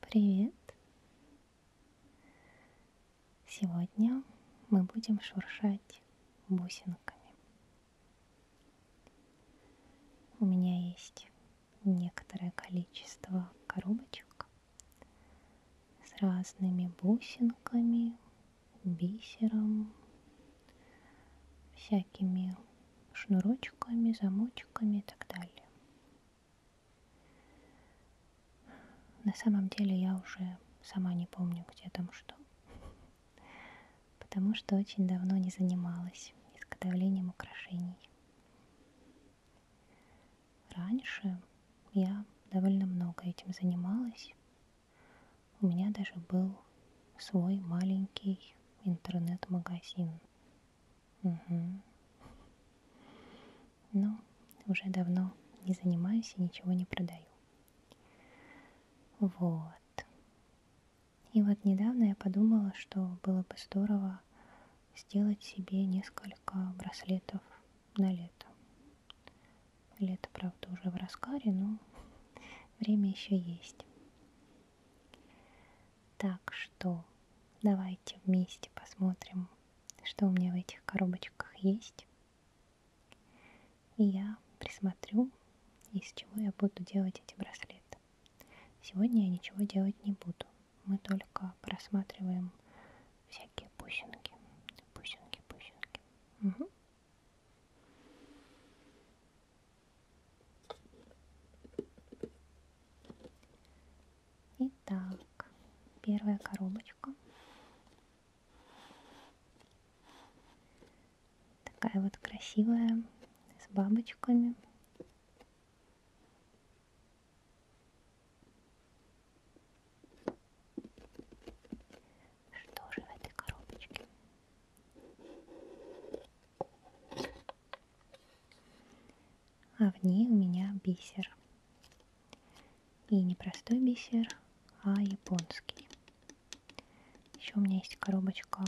Привет! Сегодня мы будем шуршать бусинками. У меня есть некоторое количество коробочек с разными бусинками, бисером, всякими шнурочками, замочками и так далее. На самом деле я уже сама не помню, где там что. Потому что очень давно не занималась изготовлением украшений. Раньше я довольно много этим занималась. У меня даже был свой маленький интернет-магазин Угу. Ну, но уже давно не занимаюсь и ничего не продаю. Вот. И вот недавно я подумала, что было бы здорово сделать себе несколько браслетов на лето. Лето, правда, уже в раскаре, но время еще есть. Так что давайте вместе посмотрим, что у меня в этих коробочках есть. И я присмотрю, из чего я буду делать эти браслеты. Сегодня я ничего делать не буду. Мы только просматриваем всякие пусинки. Пусинки, пусинки. Угу. Итак, первая коробочка. Такая вот красивая, с бабочками. Что же в этой коробочке? а в ней у меня бисер. И не простой бисер, а японский. Еще у меня есть коробочка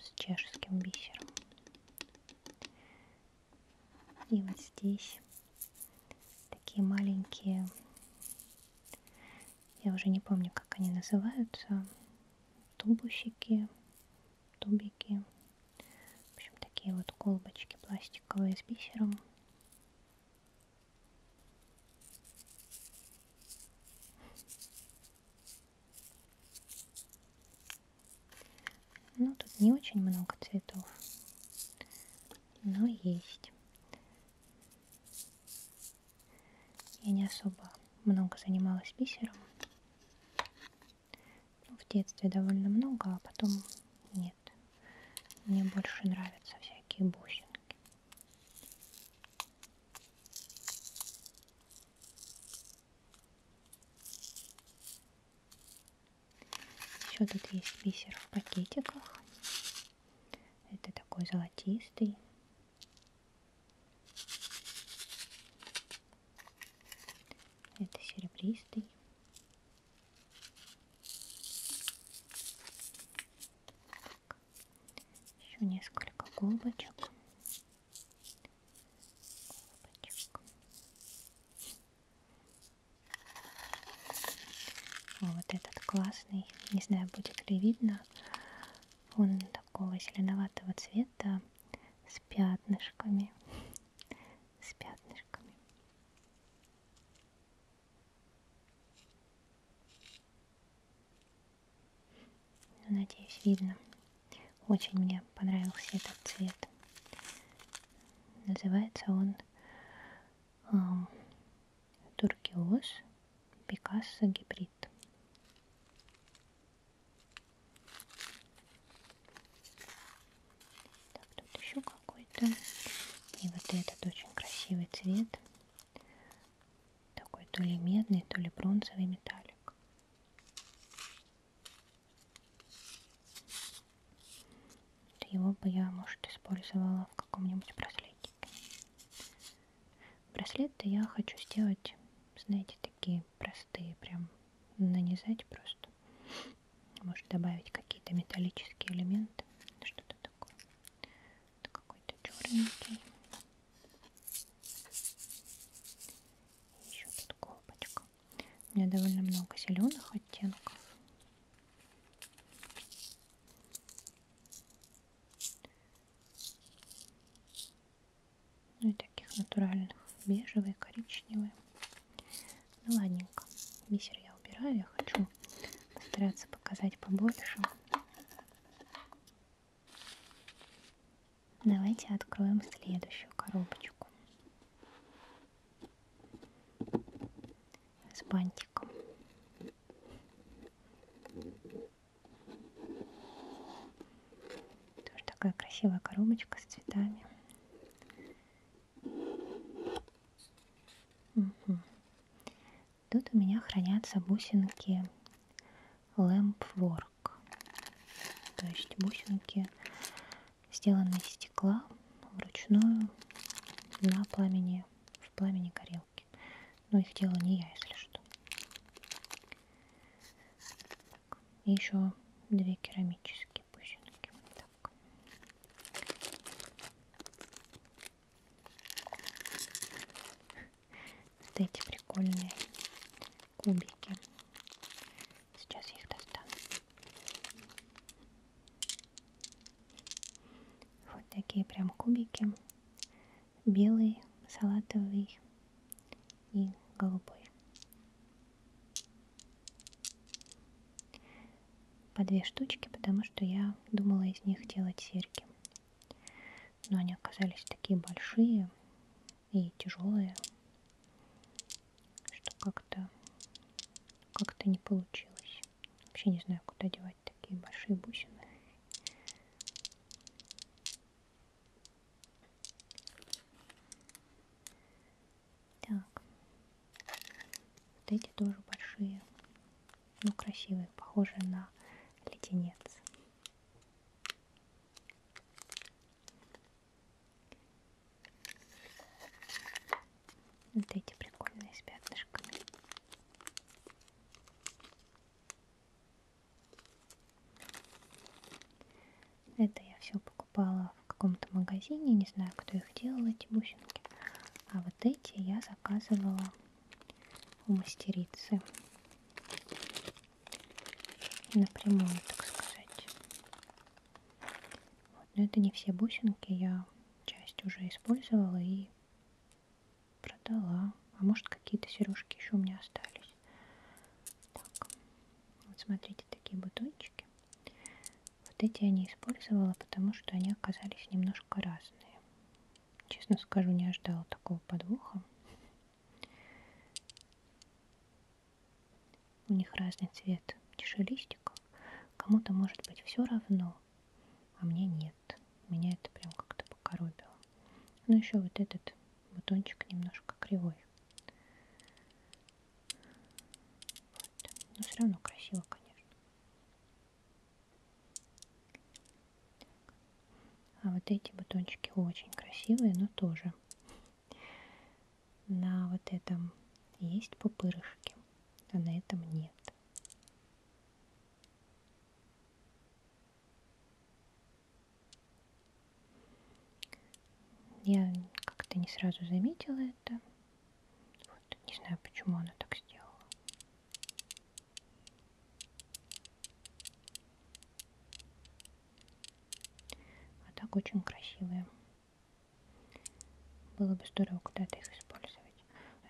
с чешским бисером. И вот здесь такие маленькие, я уже не помню, как они называются, тубусики тубики. В общем, такие вот колбочки пластиковые с бисером. Ну, тут не очень много цветов, но есть. Я не особо много занималась бисером. Ну, в детстве довольно много, а потом нет. Мне больше нравятся всякие бусинки. Еще тут есть бисер в пакетиках. Это такой золотистый. Это серебристый. Так. Еще несколько губочек. губочек. Вот этот классный, не знаю, будет ли видно, он такого зеленоватого цвета, с пятнышками, с пятнышками. Ну, надеюсь, видно. Очень мне понравился этот цвет. Называется он эм, Туркиоз Пикассо Гибрид. Так, тут еще какой-то. И вот этот очень красивый цвет. Такой то ли медный, то ли бронзовый металлик. Его бы я, может, использовала в каком-нибудь браслетике. Браслет я хочу сделать, знаете, такие простые, прям нанизать просто. Может добавить какие-то металлические элементы, что-то такое. Это какой-то черненький. Еще тут колпочка. У меня довольно много зеленых оттенков. Ну и таких натуральных, бежевые, коричневые. Ну ладненько, бисер я убираю, я хочу постараться показать побольше. Давайте откроем следующую коробочку с бантиком. Тоже такая красивая коробочка с цветами. Угу. Тут у меня хранятся бусинки Lamp Work. То есть бусинки, сделанные из стекла вручную на пламени, в пламени горелки. Но их делаю не я, если что. Так. И еще две керамические бусинки. Так. Вот эти прикольные кубики. Сейчас я их достану. Вот такие прям кубики. Белый, салатовый и голубой. По две штучки, потому что я думала из них делать серьги. Но они оказались такие большие и тяжелые, что как-то как-то не получилось. Вообще не знаю, куда девать такие большие бусины. Так. Вот эти тоже большие. Ну, красивые, похожие на леденец. Вот эти прикольные с пятнышками. Это я все покупала в каком-то магазине, не знаю, кто их делал, эти бусинки. А вот эти я заказывала у мастерицы. Напрямую, так сказать. Вот. Но это не все бусинки, я часть уже использовала и продала. А может какие-то сережки еще у меня остались вкус. Так, вот смотрите, такие бутончики. Вот эти я не использовала, потому что они оказались немножко разные. Честно скажу, не ожидала такого подвоха. У них разный цвет чашелистиков. Кому-то может быть все равно, а мне нет. Меня это прям как-то покоробило. Ну еще вот этот батончик немножко кривой. Вот. Но все равно красиво, конечно. Так. А вот эти батончики очень красивые, но тоже на вот этом есть пупырышки, а на этом нет. Я как-то не сразу заметила это. Вот, не знаю, почему она так сделала. А так очень красивые. Было бы здорово куда-то их использовать.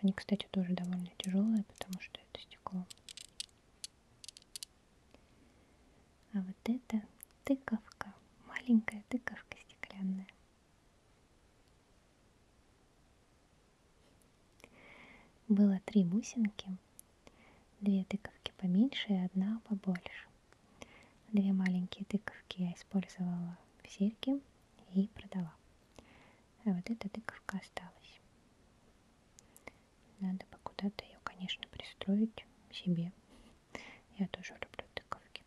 Они, кстати, тоже довольно тяжелые, потому что это стекло. А вот это тыковка, маленькая тыковка стеклянная. Было три бусинки, две тыковки поменьше и одна побольше. Две маленькие тыковки я использовала в серьги и продала. А вот эта тыковка осталась. Надо бы куда-то ее, конечно, пристроить себе. Я тоже люблю тыковки.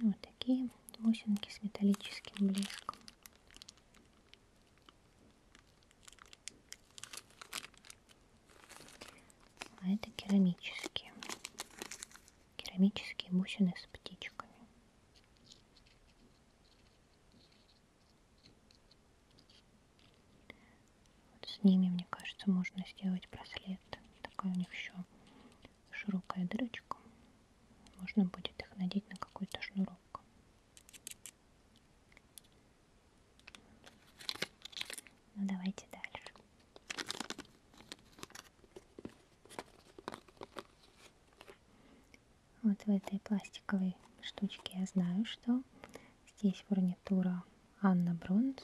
Вот такие бусинки с металлическим блеском. А это керамические. Керамические бусины с птичками. Вот с ними, мне кажется, можно сделать браслет. Такая у них еще широкая дырочка. Можно будет их надеть на какой-то шнурок. Ну давайте дальше. Вот в этой пластиковой штучке я знаю, что здесь фурнитура Анна Бронз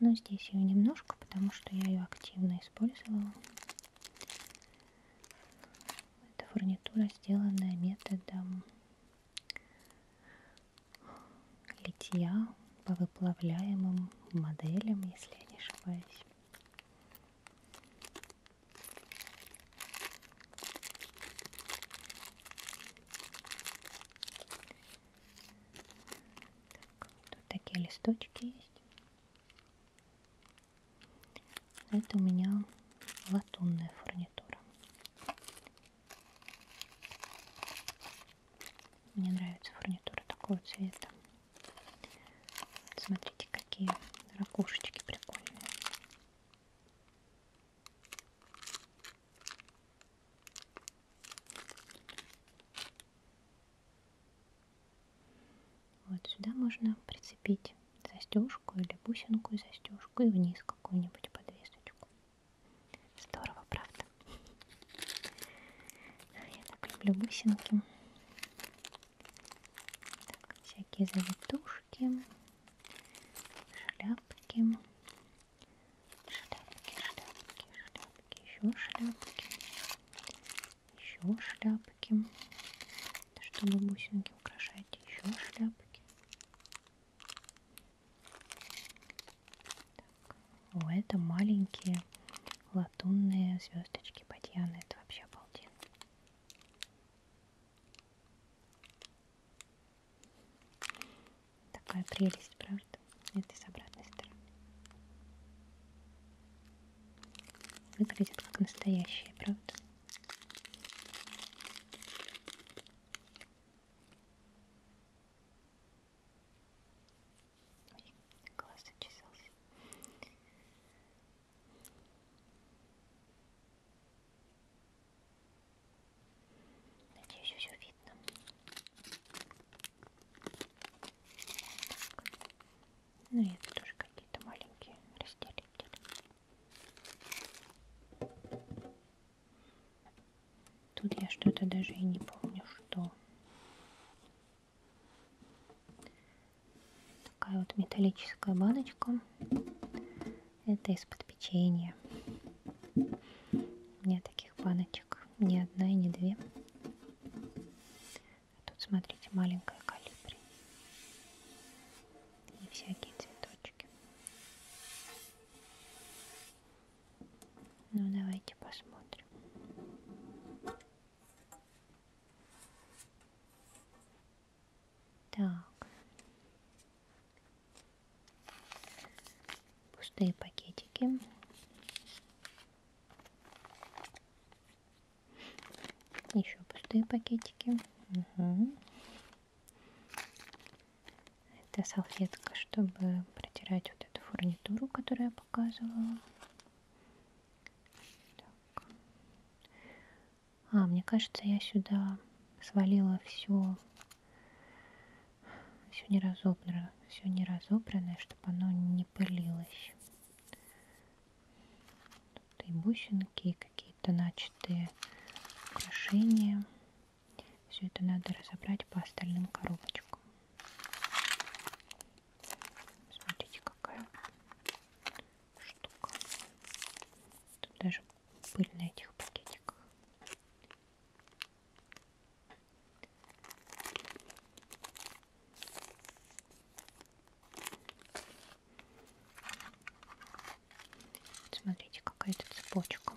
но здесь ее немножко, потому что я ее активно использовала. Эта фурнитура сделана методом литья по выплавляемым моделям, если я не ошибаюсь. Так, тут такие листочки есть. Это у меня латунная фурнитура. Мне нравится фурнитура такого цвета. Вот смотрите, какие ракушечки прикольные. Вот сюда можно прицепить застежку или бусинку и застежку и вниз какую-нибудь подвесочку. Здорово, правда? А, я так люблю бусинки. Так, всякие завитушки, шляпки, шляпки, шляпки, шляпки, еще шляпки еще шляпки, чтобы бусинки украшать, еще шляпки. Так. О, это маленькие латунные звездочки Батьяны, это вообще обалденно. Такая прелесть, правда? может. Это и с обратной стороны. Выглядит как настоящие, правда? Ой, глаз зачесался. Надеюсь, все видно. Ну и это тоже какие-то маленькие разделители. Тут я что-то даже и не помню, что. Такая вот металлическая баночка. Это из-под печенья. У меня таких баночек пачек, ни одна и не две. А тут, смотрите, маленькая калибри и всякие цветочки. Ну, давайте посмотрим. Так. Пустые пакетики. Еще пустые пакетики. Угу. Это салфетка, чтобы протирать вот эту фурнитуру, которую я показывала. Так. А, мне кажется, я сюда свалила все все не разобрано, все не разобранное, чтобы оно не пылилось. Тут и бусинки, и какие-то начатые украшения. Все это надо разобрать по остальным коробочкам. Смотрите, какая штука. Тут даже пыль на этих пакетиках. Смотрите, какая-то цепочка.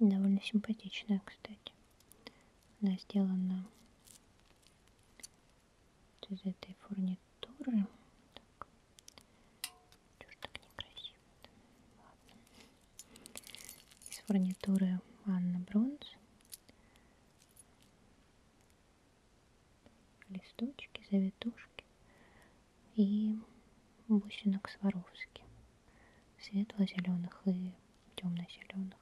Довольно симпатичная, кстати. Она сделана из этой фурнитуры. Так. Чушь так некрасиво. Ладно. Из фурнитуры Анна Бронз. Листочки, завитушки и бусинок Сваровски светло-зеленых и темно-зеленых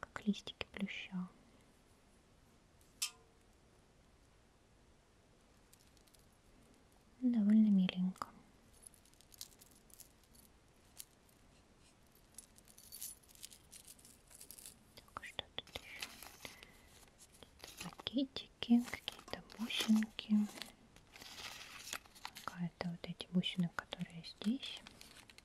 как листики плюща. Довольно миленько. Так, а что тут еще? Какие-то пакетики, какие-то бусинки. Какая-то вот эти бусины, которые здесь. Там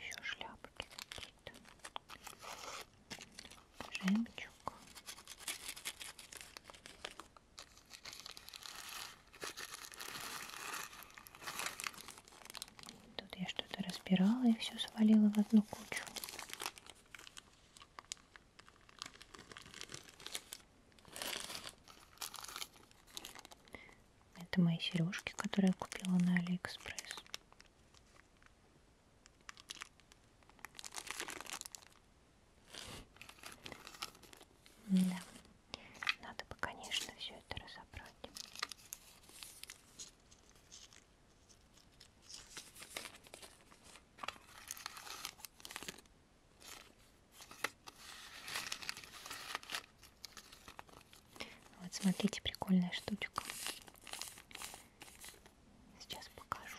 еще шляпки какие-то. Жемчуг. Тут я что-то разбирала и все свалила в одну кучу. Это мои сережки, которые я купила на Алиэкспресс. Да. Надо бы, конечно, все это разобрать. Вот смотрите, прикольная штучка. Сейчас покажу.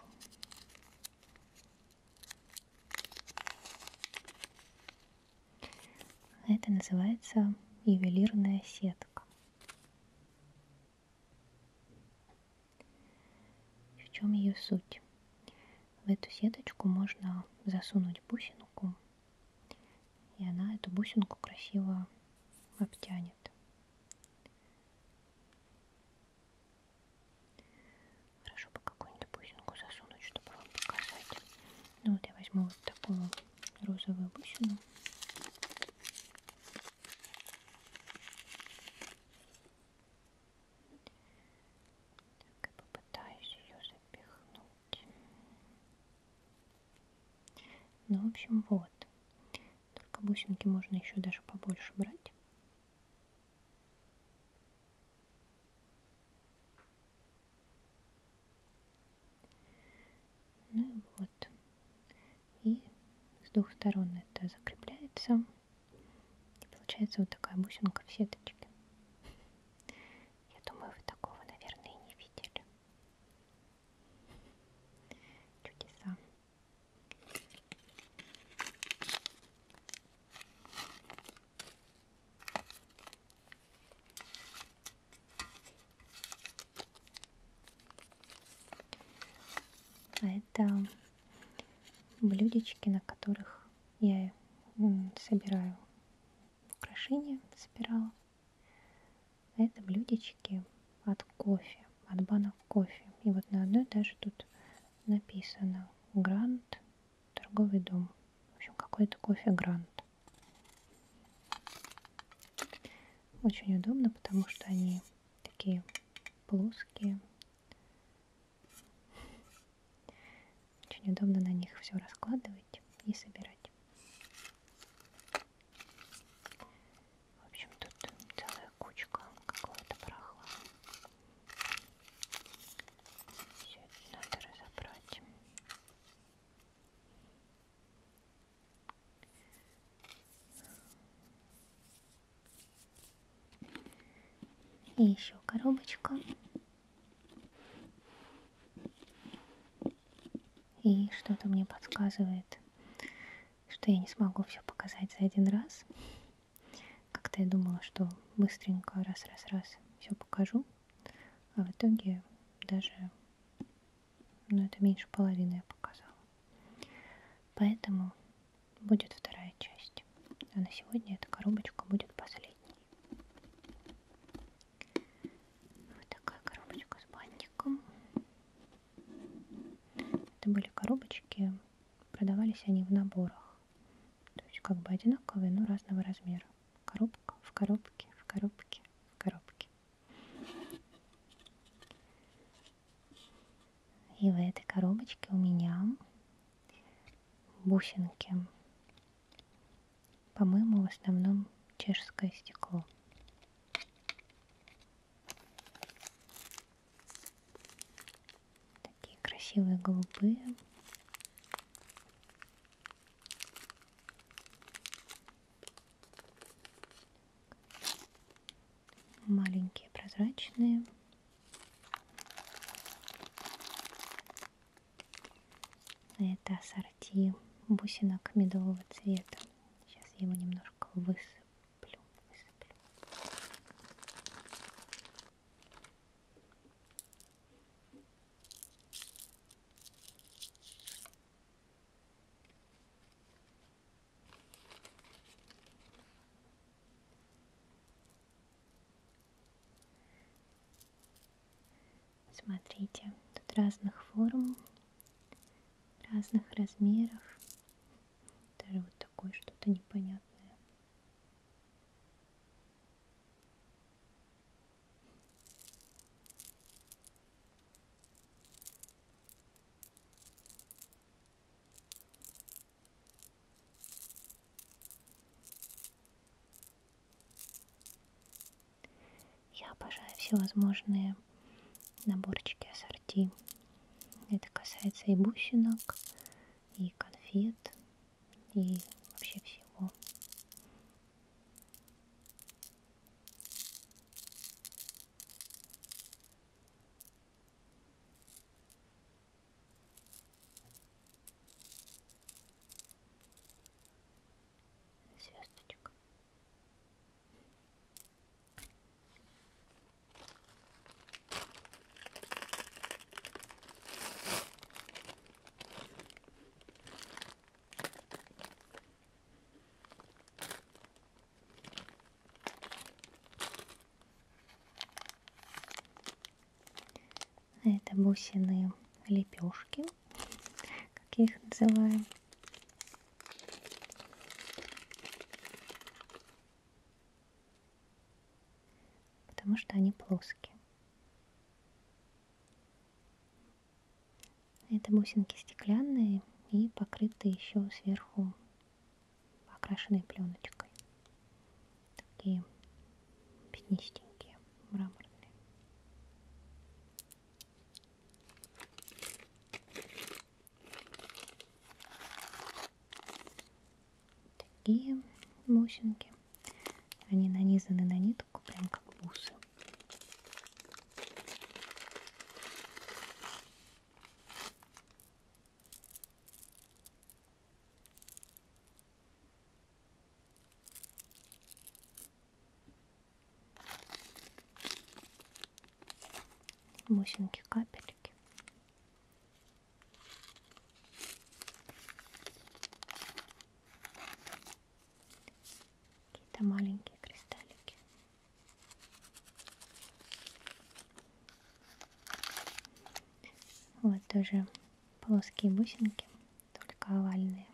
Это называется ювелирная сетка. В чем ее суть? В эту сеточку можно засунуть бусинку, и она эту бусинку красиво обтянет. Хорошо бы какую-нибудь бусинку засунуть, чтобы вам показать. Ну вот я возьму вот такую розовую бусину. Так, и попытаюсь ее запихнуть. Ну, в общем, вот. Только бусинки можно еще даже побольше брать. Ну вот. И с двух сторон это закрепляется. И получается вот такая бусинка в сеточке. Я думаю, вы такого, наверное, и не видели. Чудеса. А это блюдечки, на которых я собираю украшения, собирала. А это блюдечки от кофе, от банок кофе. И вот на одной даже тут написано Grand торговый дом. В общем, какой-то кофе Грант. Очень удобно, потому что они такие плоские. Очень удобно на них все раскладывать и собирать. В общем, тут целая кучка какого-то прохлада. Все это надо разобрать. И еще коробочка. И что-то мне подсказывает, что я не смогу все показать за один раз. Как-то я думала, что быстренько раз-раз-раз все покажу. А в итоге даже, ну это меньше половины я показала. Поэтому будет вторая часть. А на сегодня эта коробочка будет последней. Вот такая коробочка с бантиком. Это были коробочки, продавались они в наборах. То есть как бы одинаковые, но разного размера коробку, в коробке, в коробке, в коробке. И в этой коробочке у меня бусинки. По-моему, в основном чешское стекло. Такие красивые голубые маленькие прозрачные. Это ассорти бусинок медового цвета. Сейчас я его немножко высыплю. высыплю. Смотрите, тут разных форм, разных размеров. Даже вот такое что-то непонятное. Я обожаю всевозможные наборчики ассорти. Это касается и бусинок, и конфет, и вообще всего. Звездочка. А это бусины лепешки, как их называем потому что они плоские. Это бусинки стеклянные и покрыты еще сверху окрашенной пленочкой. Такие пятнистенькие, мраморные такие бусинки. Они нанизаны на нитку, прям как бусы. бусинки капельки Какие-то маленькие кристаллики. Вот тоже плоские бусинки, только овальные.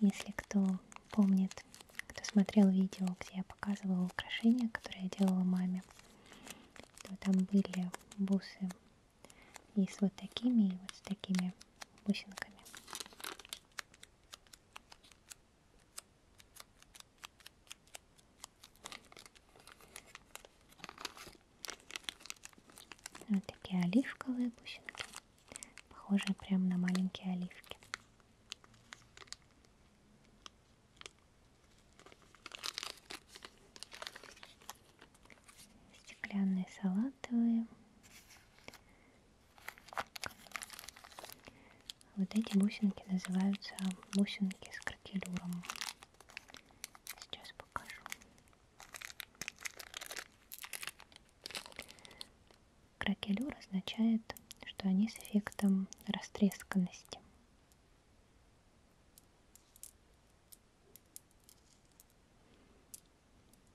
Если кто помнит, кто смотрел видео, где я показывала украшения, которые я делала маме, то там были бусы и с вот такими, и вот с такими бусинками. Вот такие оливковые бусинки. Похоже прям на маленькие оливки. Стеклянные салатовые. Вот эти бусинки называются бусинки с кракелюром. Сейчас покажу. Кракелюр означает, что они с эффектом растресканности.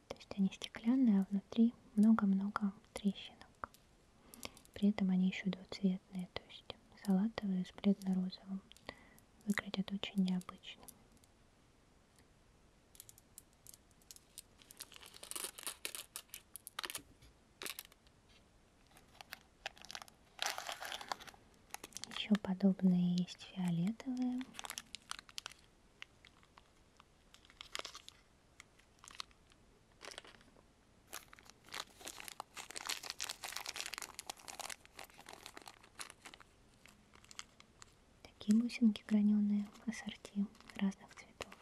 То есть они стеклянные, а внутри много-много трещинок. При этом они еще двуцветные, то есть салатовые с бледно-розовым. Выглядят очень необычно. Еще подобные есть фиолетовые. Такие бусинки граненые, ассорти разных цветов.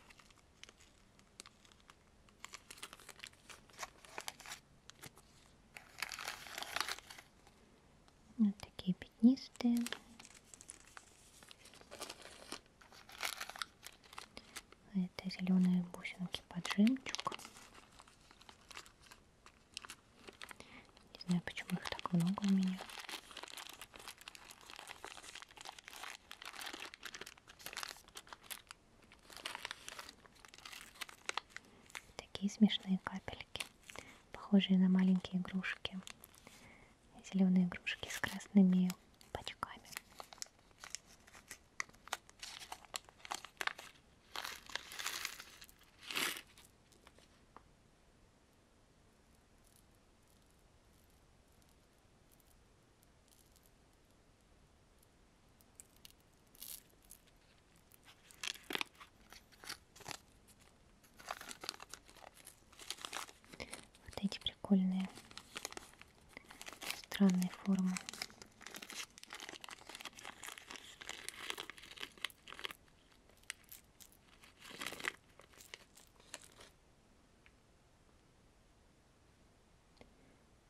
Вот ну, такие пятнистые. Это зеленые бусинки под жемчуг. Не знаю, почему их так много у меня. Такие смешные капельки, похожие на маленькие игрушки. Зеленые игрушки с красными пачками. Вот эти прикольные странные формы.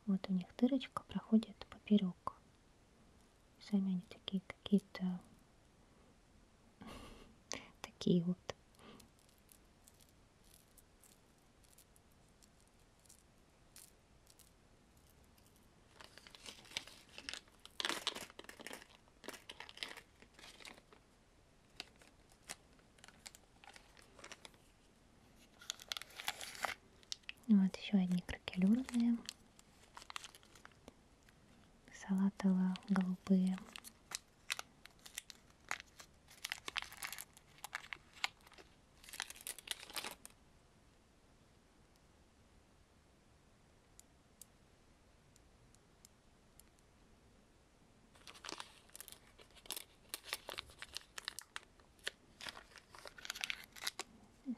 Вот у них дырочка проходит поперек. Сами они такие какие-то такие вот. Вот еще одни кракелюрные. Салатово-голубые.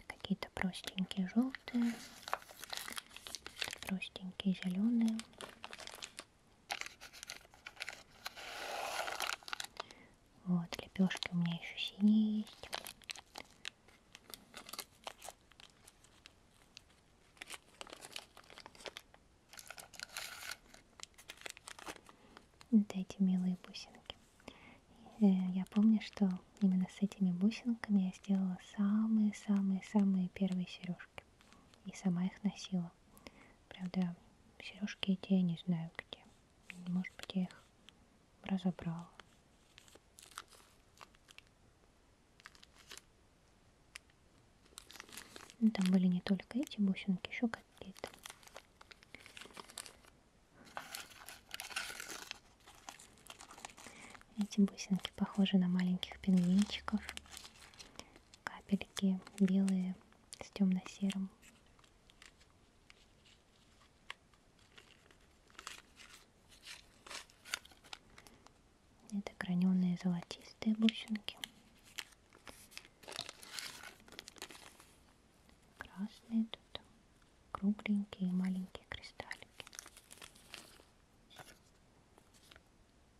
Какие-то простенькие желтые, простенькие зеленые. Вот, лепешки у меня еще синие есть. Вот эти милые бусинки. Э, я помню, что именно с этими бусинками я сделала самые-самые-самые первые сережки. И сама их носила. Правда, сережки эти я не знаю где. Может быть, я их разобрала. Ну, там были не только эти бусинки, еще какие-то. Эти бусинки похожи на маленьких пингвинчиков. Капельки белые с темно-серым. Это граненые золотистые бусинки. Красные тут, кругленькие маленькие кристаллики.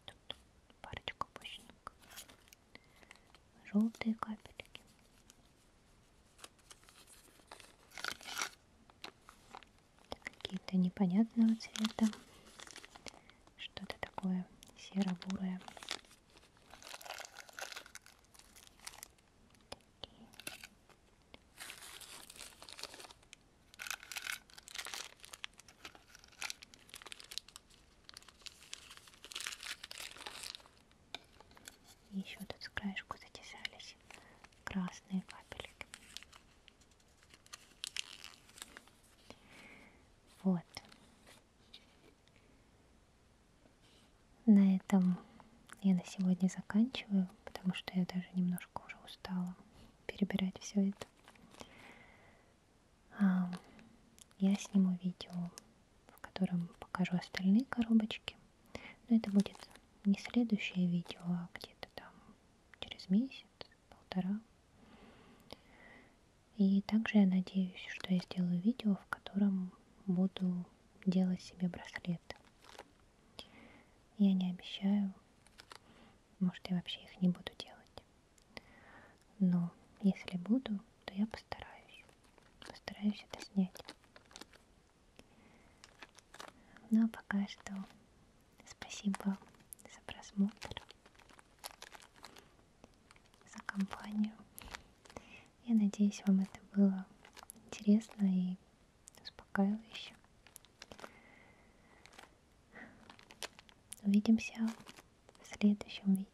Тут парочку бусинок. Желтые капельки какие-то непонятного цвета, что-то такое серо-бурое. еще тут с краешку затесались красные капельки. Вот. На этом я на сегодня заканчиваю, потому что я даже немножко уже устала перебирать все это. А, я сниму видео, в котором покажу остальные коробочки. Но это будет не следующее видео, а где-то там через месяц, полтора. И также я надеюсь, что я сделаю видео, в котором буду делать себе браслеты. Я не обещаю, может я вообще их не буду делать. Но если буду, то я постараюсь. Постараюсь это снять. Ну а пока что Спасибо за просмотр, за компанию. Я надеюсь, вам это было интересно и успокаивающе. Увидимся в следующем видео.